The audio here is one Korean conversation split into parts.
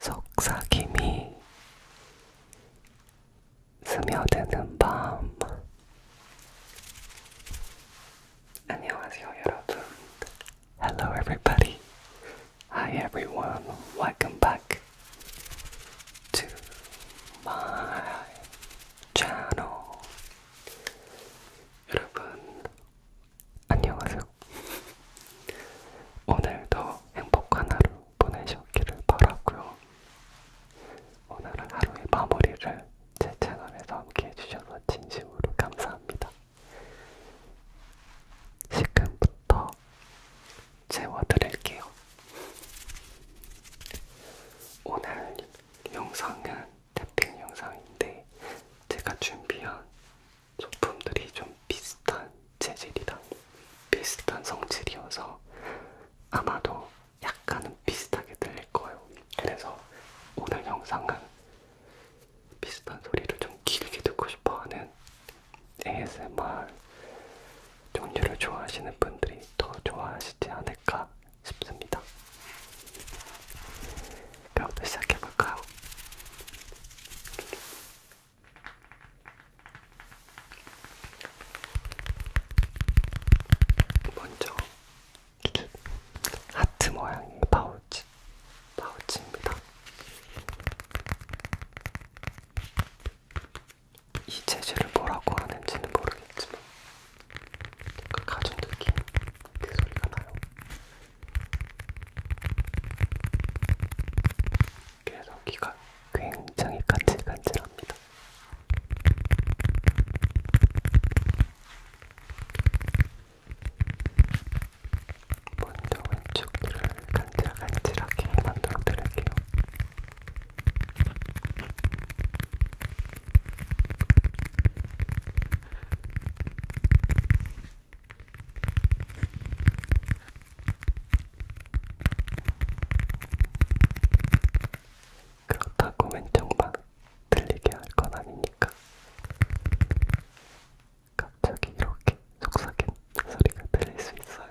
속삭임이 스며드는 밤. Hello, everybody. Hi, everyone. Welcome back to my channel. 여러분, 안녕하세요. 있어요. 오늘도 행복한 하루 보내셨기를 바라고요. 오늘은 하루의 마무리를 제 채널에서 함께 해주셔서 진심으로 감사합니다. 지금부터 재워드릴게요. 오늘 영상은 태핑 영상인데 제가 준비한 소품들이 좀 비슷한 재질이랑 비슷한 성질이어서 아마도 약간은 비슷하게 들릴 거예요. 그래서 오늘 영상은 비슷한 소리를 좀 길게 듣고 싶어하는 ASMR 종류를 좋아하시는 분들이 더 좋아하시지 않을까 싶습니다. 그럼 또 시작해볼까요? 먼저 하트 모양의 파우치, 파우치입니다. 이 재질을 뭐라고 하는지는 모르겠지만 약간 가죽 느낌 그 소리가 나요. 그래서 귀가 굉장히 간질간질합니다. 먼저 왼쪽 귀를 간질간질하게 만들어 드릴게요. 그렇다고 왼쪽만 들리게 할 건 아니니까 갑자기 이렇게 속삭인 소리가 들릴 수 있어요.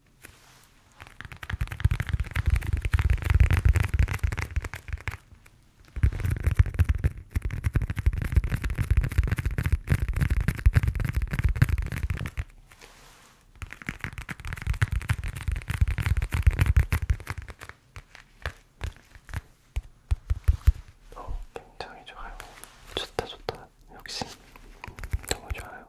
어, 굉장히 좋아요. 좋다, 좋다. 역시 너무 좋아요.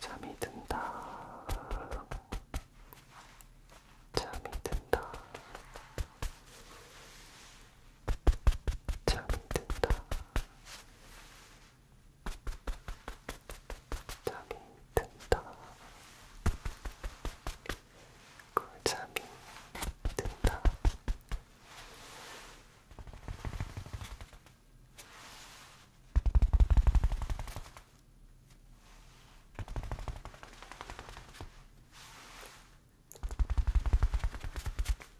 잠이 든다. 잠이 든다. 잠이 든다. 잠이 든다. 그 잠이 든다.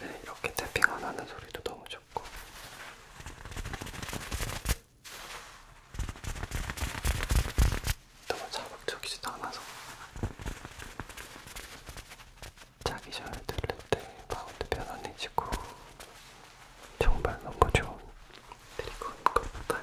네, 이렇게 태핑 안 하는 소리도 너무 좋고. 너무 자극적이지도 않아서 자기 전에 들을 때 마음도 편안해지고 정말 너무 좋은 드리건것 같아요.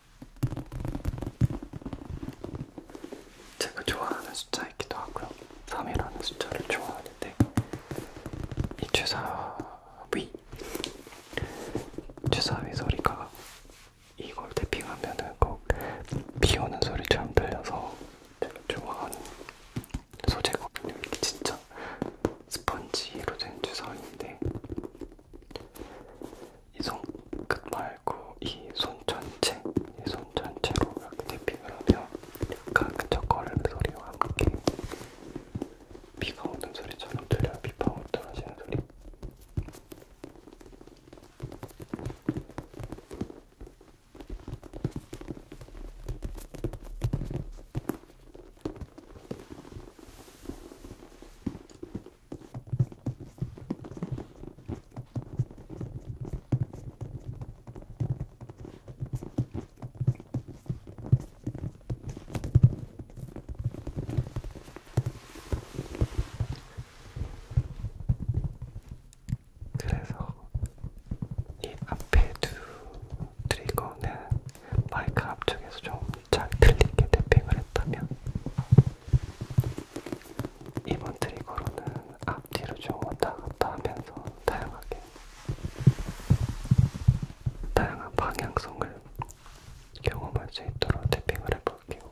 제가 좋아하는 숫자이기도 하고요. 3이라는 숫자를 좋아하는데 이 최사위 최사위 소리가 이걸 대핑하면은 꼭 비오는 소리처럼 들려서 제가 좋아하는 소재거든요. 이게 진짜 스펀지로 된 최사위인데 이손끝 말고 이 손 전체, 이 손 전체로 이렇게 대핑을 하면 약간 끈적거리는 소리와 함께 비가 오는 소리처럼 들려요. 비방울 떨어지는 소리. 그래서 이 앞에 두 트리거는 마이크 앞쪽에서 좀 잘 들리게 탭핑을 그랬다면 이번 트리거로는 앞뒤로 좀 왔다 갔다 하면서 다양하게 다양한 방향성을 경험할 수 있도록 탭핑을 해볼게요.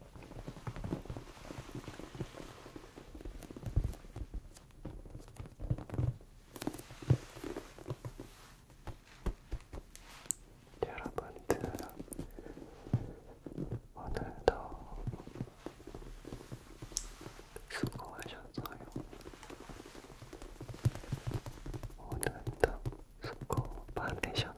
여러분들 오늘도 수고하셨어요. 오늘도 수고 많으셨어요.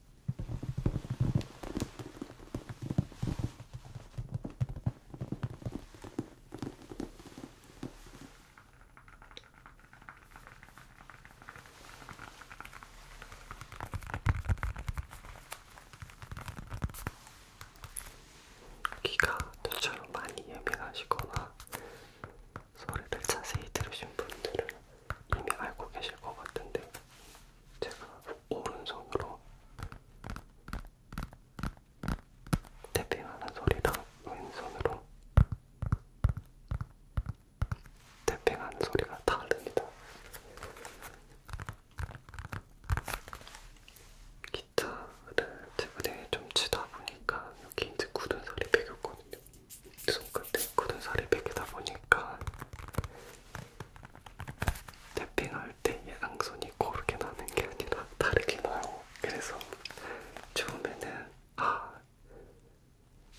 귀가 저처럼 많이 예민하시거나 소리를 자세히 들으신 분들은 이미 알고 계실 것 같은데 제가 오른손으로 태핑하는 소리랑 왼손으로 태핑하는 소리가 다릅니다. 기타를 최근에 좀 치다 보니까 여기 이제 굳은 살이 배겼거든요. 손끝에 굳은 살이 베기다 보니까 탭핑할 때 양손이 고르게 나는 게 아니라 다르게 나요. 그래서 처음에는 아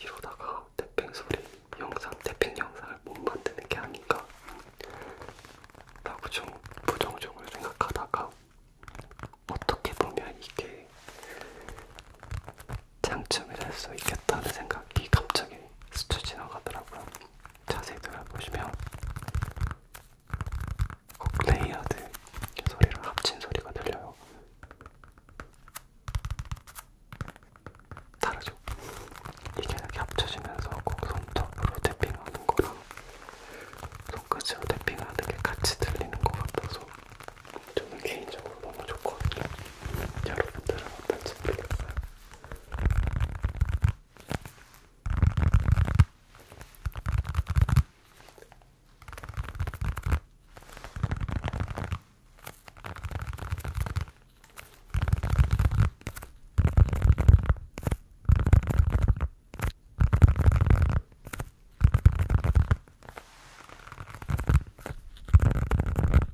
이러다가 탭핑 소리 영상, 탭핑 영상을 못 만드는 게 아닌가 라고 좀 부정적으로 생각하다가 어떻게 보면 이게 장점이 될 수 있겠다는 생각이 갑자기 스쳐 지나가더라고요. 자세히 들어보시면 레이아드 소리랑 합친 소리가 들려요. 다르죠? 이게 이렇게 합쳐지면서 꼭 손톱으로 탭핑하는 거랑 손끝으로 탭핑하는 게 같이 들리는 것 같아서 저는 개인적으로 너무 좋거든요. 여러분들은 어떤지 모르겠어요.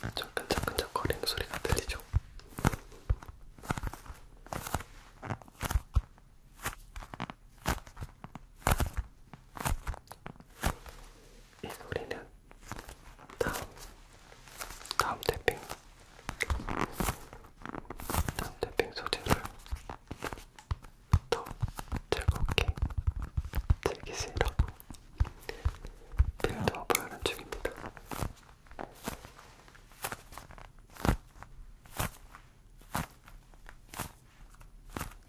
끈적끈적 아, 거리는 소리가 들리죠? 이 소리는 다음 다음 태핑 다음 태핑 소재를 더 즐겁게 즐기시라고 빌드업을 하는 중입니다.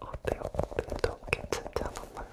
어때요? 눈도 괜찮지 않았나요?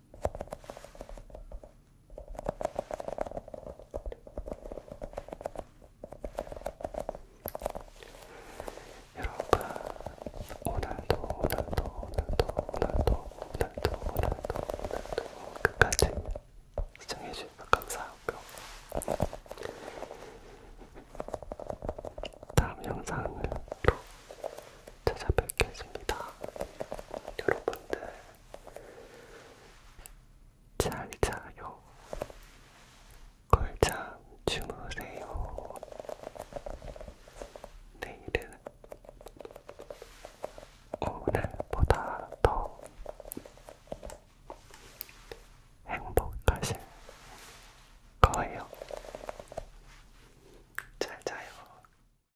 여러분 오늘도 오늘도 오늘도 오늘도 오늘도 오늘도 오늘도 끝까지 시청해주셔서 감사하고요. 다음 영상으로 찾아뵙겠습니다. 여러분들 잘 자요. 걸잠 주무세요. 내일은 오늘보다 더 행복하실 거예요. 잘 자요.